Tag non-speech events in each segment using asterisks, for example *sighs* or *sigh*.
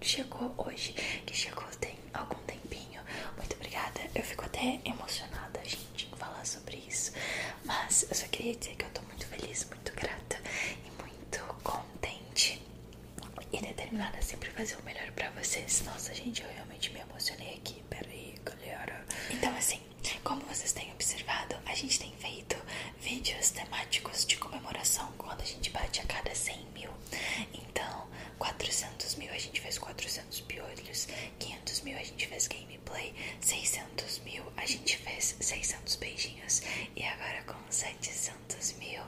chegou hoje, que chegou tem algum tempinho. Muito obrigada. Eu fico até emocionada, gente, em falar sobre isso. Mas eu só queria dizer que eu tô muito feliz, muito grata e muito contente. E determinada a sempre fazer o melhor pra vocês. Nossa, gente, eu realmente me emocionei aqui. Peraí, galera. Então, assim, como vocês têm observado, a gente tem feito vídeos temáticos de comemoração quando a gente bate a cada 100 mil. Então, 400 mil a gente fez 400 piolhos, 500 mil a gente fez gameplay, 600 mil a gente fez 600 beijinhos e agora com 700 mil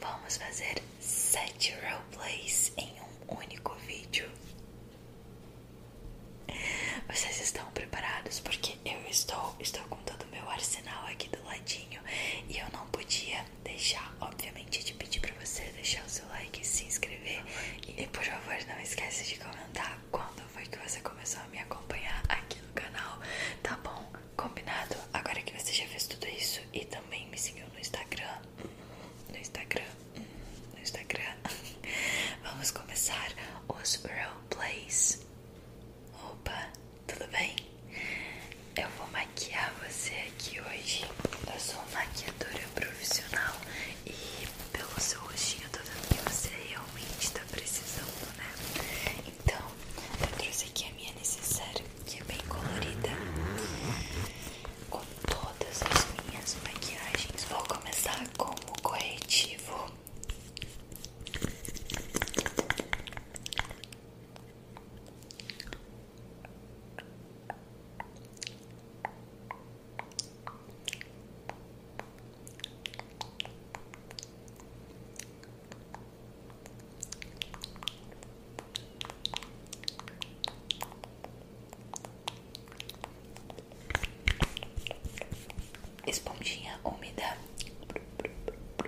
vamos fazer 7 roleplays em um único vídeo. Vocês estão preparados? Porque eu estou, estou com todo o meu arsenal aqui do ladinho e eu não podia deixar, obviamente, de pedir pra você deixar o seu like, se inscrever e por favor não esqueça de comentar quando foi que você começou a me acompanhar aqui no canal, tá bom? Combinado? Agora que você já fez tudo isso e também me seguiu no Instagram, no Instagram, no Instagram, *laughs* vamos começar os roleplays. Opa, tudo bem? Eu vou maquiar você aqui hoje. Eu sou uma maquiadora profissional e pelo seu rostinho tô vendo que você realmente tá precisando, né? Então, eu trouxe aqui a minha necessária, que é bem colorida, com todas as minhas maquiagens. Vou começar com o corretivo Esponjinha úmida.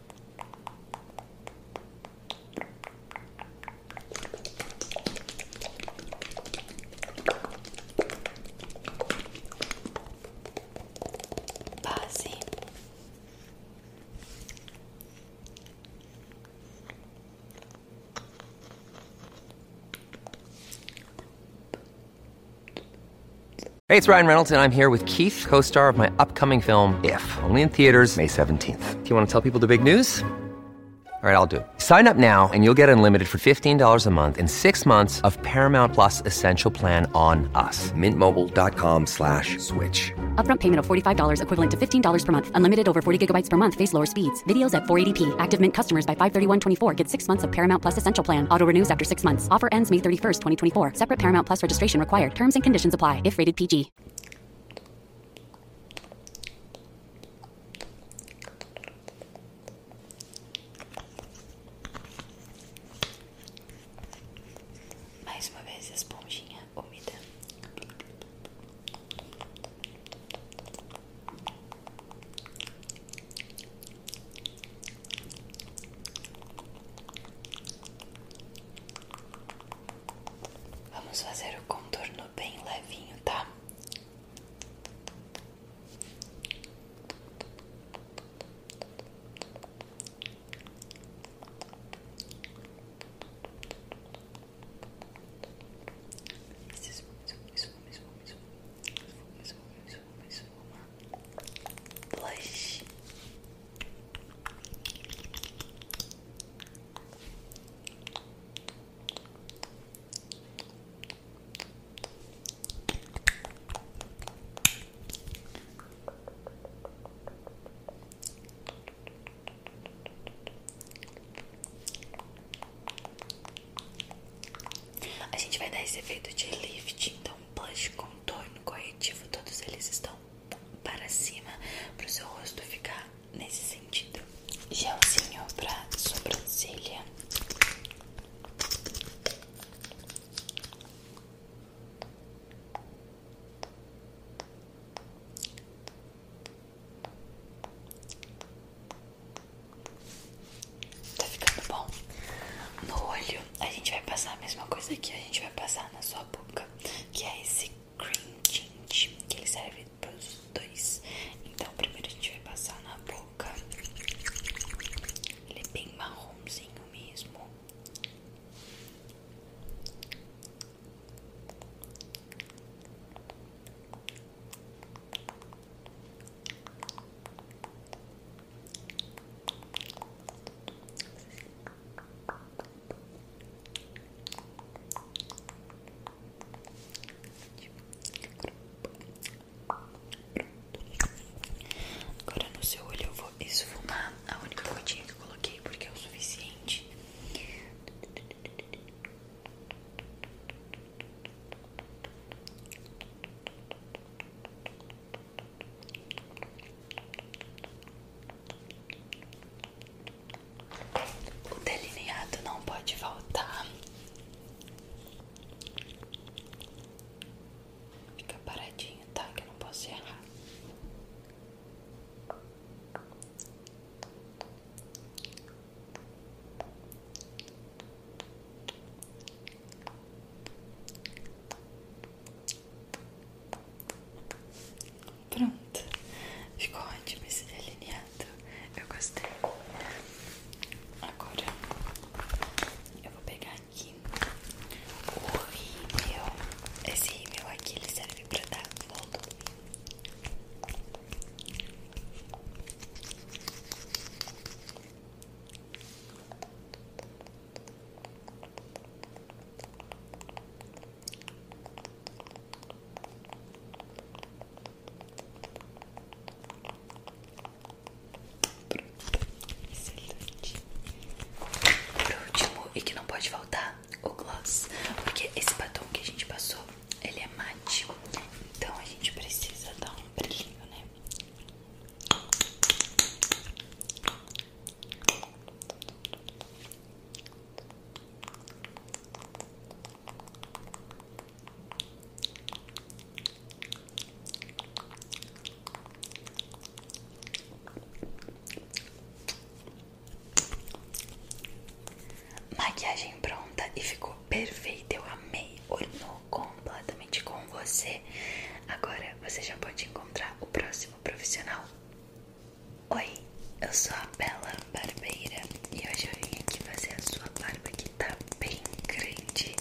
Base Hey, it's Ryan Reynolds, and I'm here with Keith, co star of my upcoming film, If, only theaters May 17th. Do you want to tell people the big news? All right, I'll do Sign up now and you'll get unlimited for $15 a month in six months of Paramount Plus Essential Plan on us. Mintmobile.com slash switch. Upfront payment of $45 equivalent to $15 per month. Unlimited over 40 gigabytes per month. Face lower speeds. Videos at 480p. Active Mint customers by 531.24 get six months of Paramount Plus Essential Plan. Auto renews after six months. Offer ends May 31st, 2024. Separate Paramount Plus registration required. Terms and conditions apply if rated PG. Mais uma vez, esponjinha úmida. Vamos fazer o contorno bem levinho, tá? Isso, isso, isso, isso, isso, isso, isso, a gente vai dar esse efeito de lift, então blush, contorno, corretivo, todos eles estão para cima para o seu rosto ficar nesse sentido. Gelzinho para sobrancelha. Tá ficando bom? No olho, a gente vai passar a mesma coisa aqui a gente vai passar na sua boca que é esse cream tint, que ele serve para os dois. Então, primeiro a gente vai passar na boca. Ele é bem marromzinho mesmo. Agora no seu olho eu vou esfumar a única gotinha que eu coloquei porque é o suficiente. O delineado não pode faltar. Fica paradinho, tá? Que eu não posso errar. Pronto, ficou ótimo esse delineado. Eu gostei. Agora eu vou pegar aqui o rímel. Esse rímel aqui ele serve para dar volume. Excelente. Por último, e que não pode faltar, o gloss. Porque esse batom que a gente passou, ele é mate. Então a gente precisa dar um brilhinho, né? Maquiagem pronta e ficou perfeita. Eu amei. Ornou completamente com você. Agora você já pode encontrar o próximo profissional. Oi, eu sou a Bela Barbeira e hoje eu vim aqui fazer a sua barba que tá bem grande.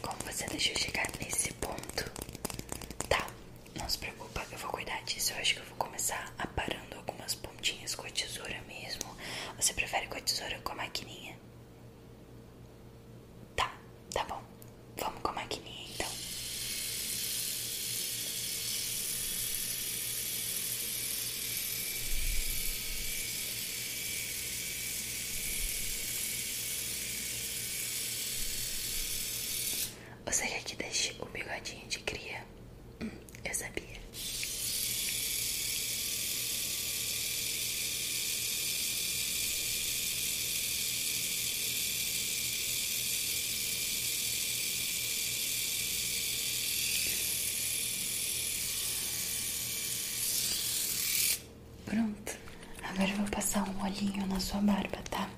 Como você deixou chegar nesse ponto? Tá, não se preocupa, eu vou cuidar disso. Eu acho que eu vou começar aparando algumas pontinhas com a tesoura mesmo. Você prefere com a tesoura ou com a maquininha? Tá, tá bom. Vamos com a maquininha então. Você quer que deixe o bigodinho de cria? Hum, eu sabia. Pronto. Agora eu vou passar um olhinho na sua barba, tá?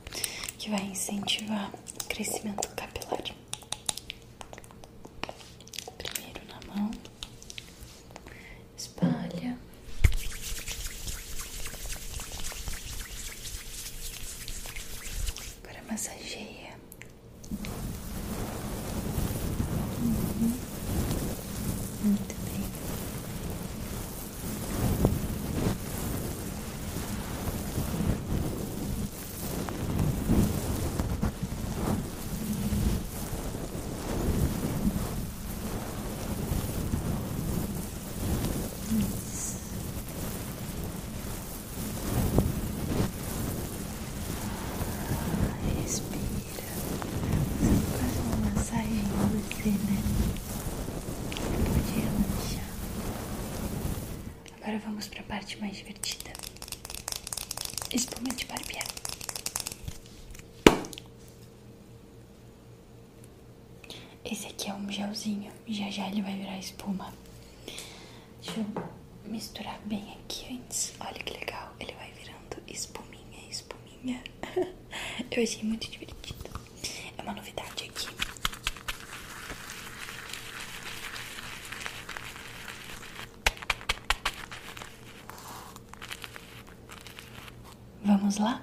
Que vai incentivar o crescimento capilar. Primeiro na mão. Espalha. Agora massageia. Uhum. Muito bem. Respira. Eu faço uma massagem você, né? Eu pode relaxar. Agora vamos para a parte mais divertida. Espuma de barbear. Esse aqui é um gelzinho, já já ele vai virar espuma. Deixa eu misturar bem aqui antes. Olha que legal, ele vai virando espuminha, espuminha. *laughs* Eu achei muito divertido. É uma novidade aqui. Vamos lá?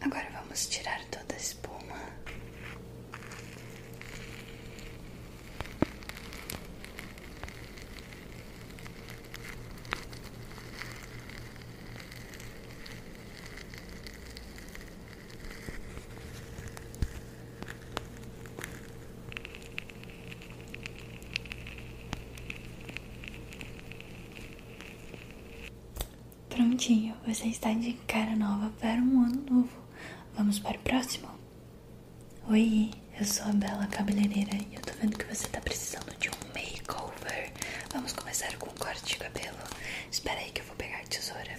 Agora vamos tirar toda a espuma. Prontinho, você está de cara nova para um ano novo. Vamos para o próximo? Oi, eu sou a Bela Cabeleireira e eu tô vendo que você tá precisando de um makeover. Vamos começar com o corte de cabelo. Espera aí que eu vou pegar a tesoura.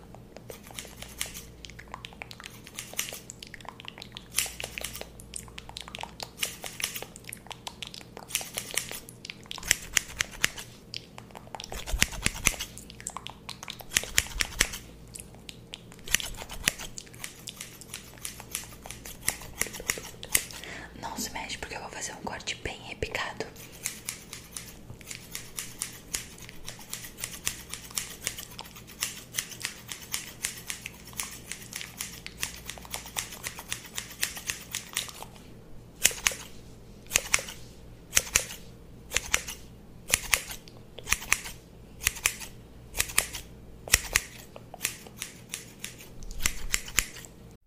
Não se mexe porque eu vou fazer um corte bem repicado.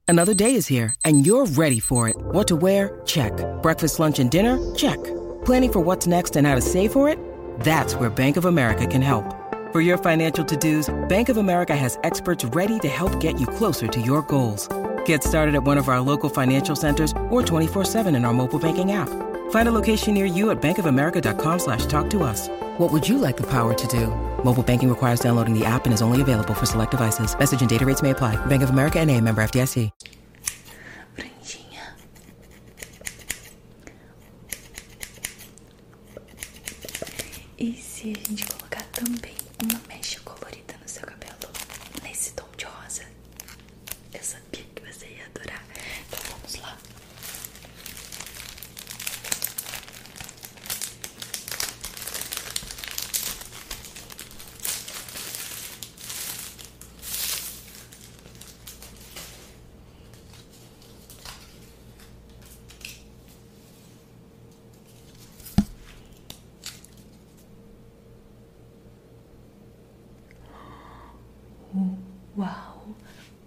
Another day is here, and you're ready for it. What to wear? Check. Breakfast, lunch, and dinner? Check. Planning for what's next and how to save for it? That's where Bank of America can help. For your financial to-dos, Bank of America has experts ready to help get you closer to your goals. Get started at one of our local financial centers or 24-7 in our mobile banking app. Find a location near you at bankofamerica.com slash talk to us. What would you like the power to do? Mobile banking requires downloading the app and is only available for select devices. Message and data rates may apply. Bank of America and a member FDIC. franjinha. E se a gente colocar também uma mecha colorida no seu cabelo, nesse tom de rosa, eu sabia que você ia adorar. Então vamos lá. Uau,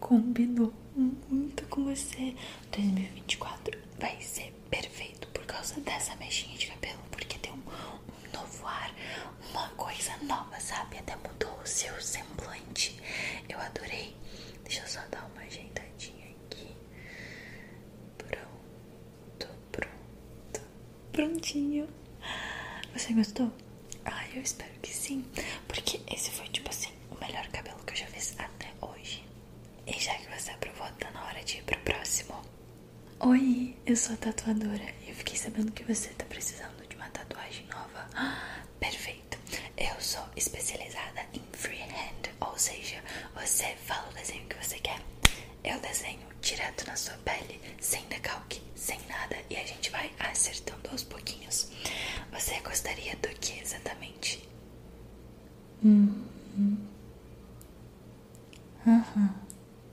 combinou muito com você. 2024 vai ser perfeito por causa dessa mexinha de cabelo, porque tem um um novo ar, uma coisa nova, sabe? Até mudou o seu semblante. Eu adorei. Deixa eu só dar uma ajeitadinha aqui. Pronto, pronto, prontinho. Você gostou? Ah, eu espero que sim. Porque esse foi, tipo assim, o melhor cabelo que eu já fiz até hoje. E já que você aprovou, tá na hora de ir pro próximo. Oi! eu sou tatuadora e eu fiquei sabendo que você tá precisando de uma tatuagem nova. *gasps* perfeito! Eu sou especializada em freehand, ou seja, você fala o desenho que você quer, eu desenho direto na sua pele, sem decalque, sem nada, e a gente vai acertando aos pouquinhos. Você gostaria do que exatamente? Uhum. Uhum.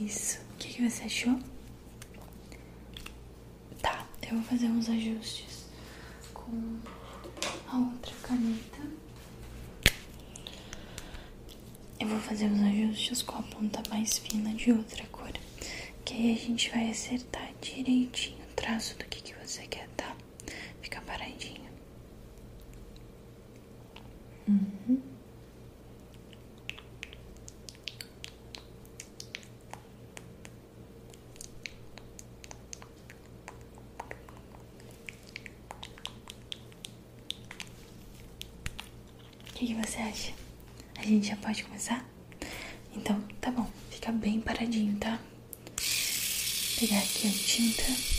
Isso. O que, você achou? Tá, eu vou fazer uns ajustes com a outra caneta. Eu vou fazer uns ajustes com a ponta mais fina de outra cor, que aí a gente vai acertar direitinho traço do que, que você quer, tá? Fica paradinho. Uhum. O que você acha? A gente já pode começar? Então, tá bom. Fica bem paradinho, tá? Vou pegar aqui a tinta.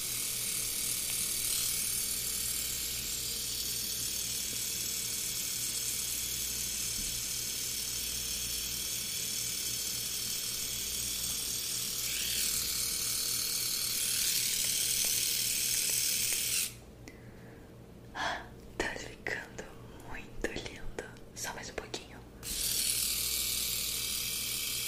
Ah, tá ficando muito lindo. Só mais um pouquinho.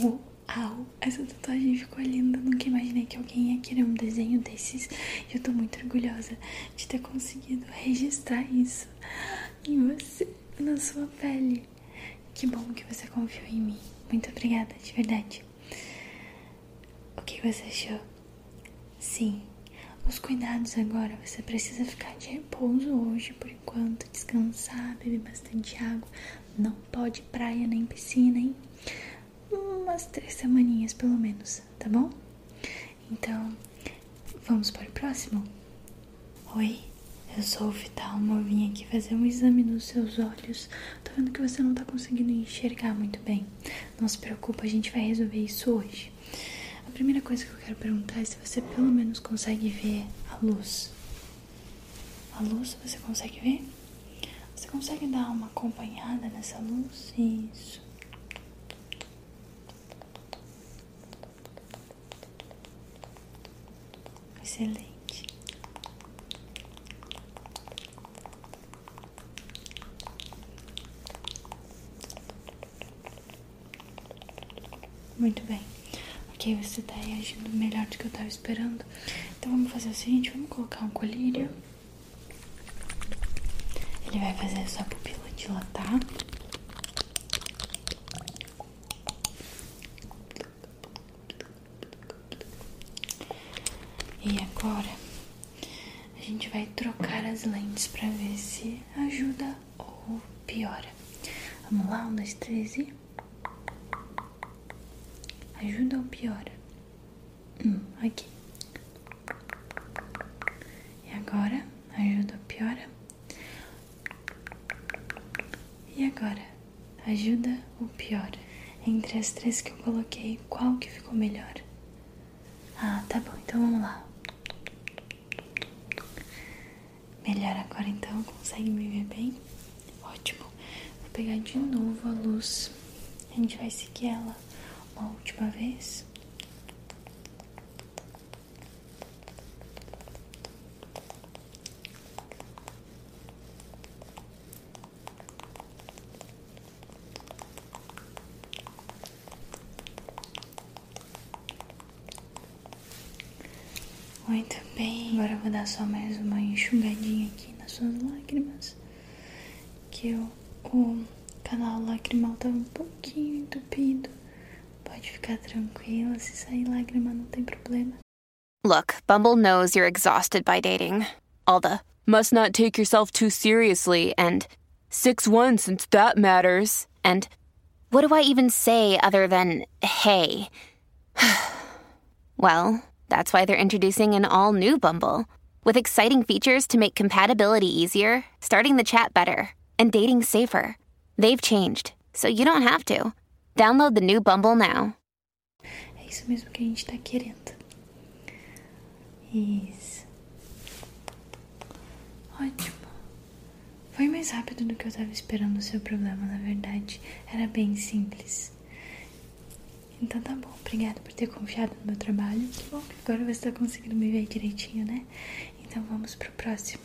Uau, essa tatuagem ficou linda. Nunca imaginei que alguém ia querer um desenho desses. E eu tô muito orgulhosa de ter conseguido registrar isso em você, na sua pele. Que bom que você confiou em mim. Muito obrigada, de verdade. O que você achou? Sim, os cuidados agora. Você precisa ficar de repouso hoje, por enquanto. Descansar, beber bastante água. Não pode praia nem piscina, hein? Umas três semaninhas, pelo menos, tá bom? Então, vamos para o próximo? Oi, resolvi sou uma Vitalma, aqui fazer um exame nos seus olhos. Tô vendo que você não tá conseguindo enxergar muito bem. Não se preocupe a gente vai resolver isso hoje. A primeira coisa que eu quero perguntar é se você pelo menos consegue ver a luz. A luz você consegue ver? Você consegue dar uma acompanhada nessa luz? Isso. Excelente. Muito bem. Ok, você tá reagindo melhor do que eu tava esperando. Então vamos fazer o seguinte, vamos colocar um colírio. Ele vai fazer a sua pupila dilatar. E agora a gente vai trocar as lentes para ver se ajuda ou piora. Vamos lá, um, dois, três e. Ajuda ou piora? Hum, ok. E agora? Ajuda ou piora? E agora? Ajuda ou piora? Entre as três que eu coloquei, qual que ficou melhor? Ah, tá bom, então vamos lá. Melhor agora então, consegue me ver bem? Ótimo. Vou pegar de novo a luz. A gente vai seguir ela uma última vez. Muito bem, agora vou dar só mais uma enxugadinha aqui nas suas lágrimas. Que o canal lacrimal está um pouquinho entupido. Pode ficar tranquila, se sair lágrima não tem problema. Look, Bumble knows you're exhausted by dating. all the must not take yourself too seriously and 6 1 since that matters, and what do I even say other than hey? *sighs* well, that's why they're introducing an all new Bumble with exciting features to make compatibility easier, starting the chat better, and dating safer. They've changed, so you don't have to. Download the new Bumble now. É isso mesmo que a querendo. Isso. Ótimo. Foi mais rápido do que eu estava esperando o seu problema, na verdade. Era bem simples. Então tá bom, obrigada por ter confiado no meu trabalho. Que bom que agora você está conseguindo me ver direitinho, né? Então vamos pro próximo.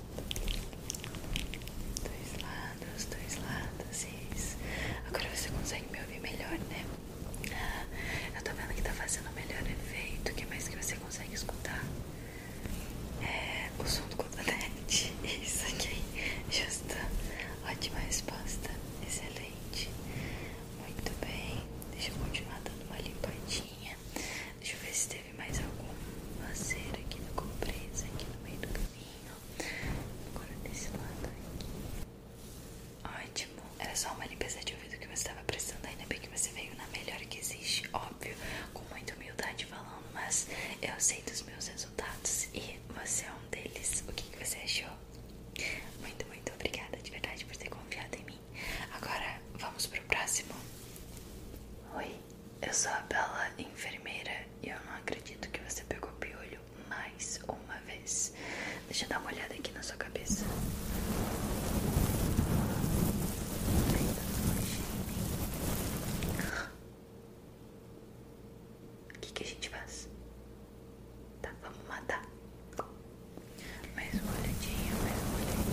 Dois lados, dois lados, isso. Agora você consegue me ouvir melhor, né? Ah, eu tô vendo que tá fazendo o melhor efeito. O que mais que você consegue escutar? É o som do cotonete. *laughs* Isso aqui. Justa. Ótima resposta. Excelente. Muito bem. Deixa eu continuar dando uma limpadinha. Deixa eu ver se teve mais algum lazer aqui no compreensa, aqui no meio do caminho. Agora desse lado aqui. Ótimo. Era só uma limpeza de ouvido que você estava precisando. Ainda bem que você veio na melhor que existe, óbvio. Com muita humildade falando, mas eu sei dos meus resultados e você é um deles. O que você achou? Muito, muito obrigada de verdade por ter confiado em mim. Agora vamos pro próximo. Oi. Eu sou a bela enfermeira e eu não acredito que você pegou piolho mais uma vez. Deixa eu dar uma olhada aqui na sua cabeça. O que, que a gente faz? Tá, vamos matar. Mais uma olhadinha, mais uma olhadinha.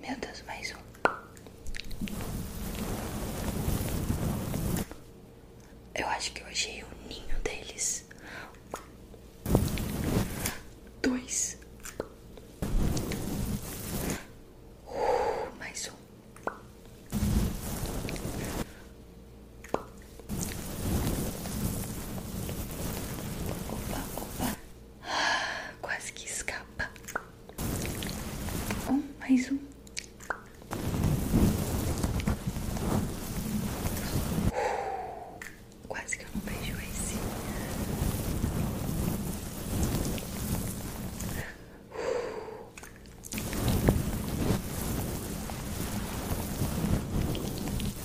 Meu Deus, mais um. Eu acho que eu achei o ninho deles. Dois. Uh, mais um. Opa, opa. Quase que escapa. Um, mais um. quase que eu não beijo esse.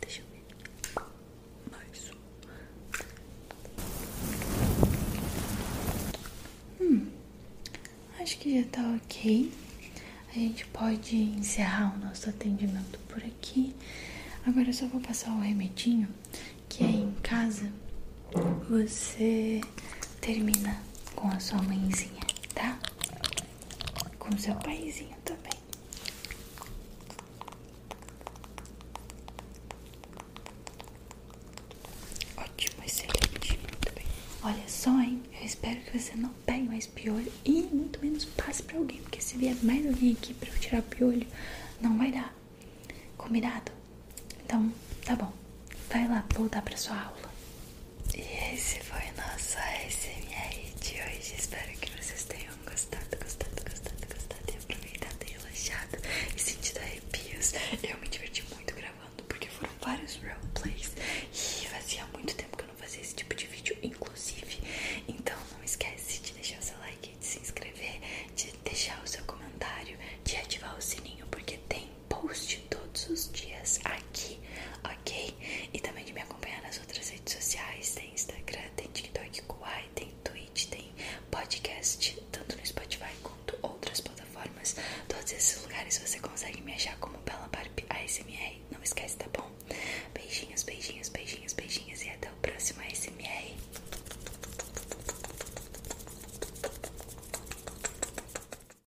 Deixa eu ver. Mais um. Hum, acho que já tá ok. A gente pode encerrar o nosso atendimento por aqui. Agora eu só vou passar o remedinho que é em casa. Você termina com a sua mãezinha, tá? com seu paizinho também. Ótimo, excelente, muito bem. Olha só, hein? Eu espero que você não pegue mais piolho e muito menos passe pra alguém, porque se vier mais alguém aqui pra eu tirar piolho, não vai dar. Combinado? Então, tá bom. Vai lá voltar pra sua aula. E esse foi o nosso ASMR de hoje. Espero que vocês tenham gostado, gostado, gostado, gostado e aproveitado e relaxado e sentido arrepios. Eu me diverti muito gravando porque foram vários roleplays e fazia muito tempo que eu não fazia esse tipo de vídeo, inclusive. Então não esquece de deixar o seu like, de se inscrever, de deixar o seu comentário, de ativar o sininho porque tem post todos os dias aqui, ok? E também de me acompanhar nas outras redes sociais, tem Instagram, tem TikTok, Kuai, tem Twitch, tem podcast, tanto no Spotify quanto outras plataformas. Todos esses lugares você consegue me achar como Bella Barb ASMR. Não esquece, tá bom? Beijinhos, beijinhos, beijinhos, beijinhos e até o próximo ASMR.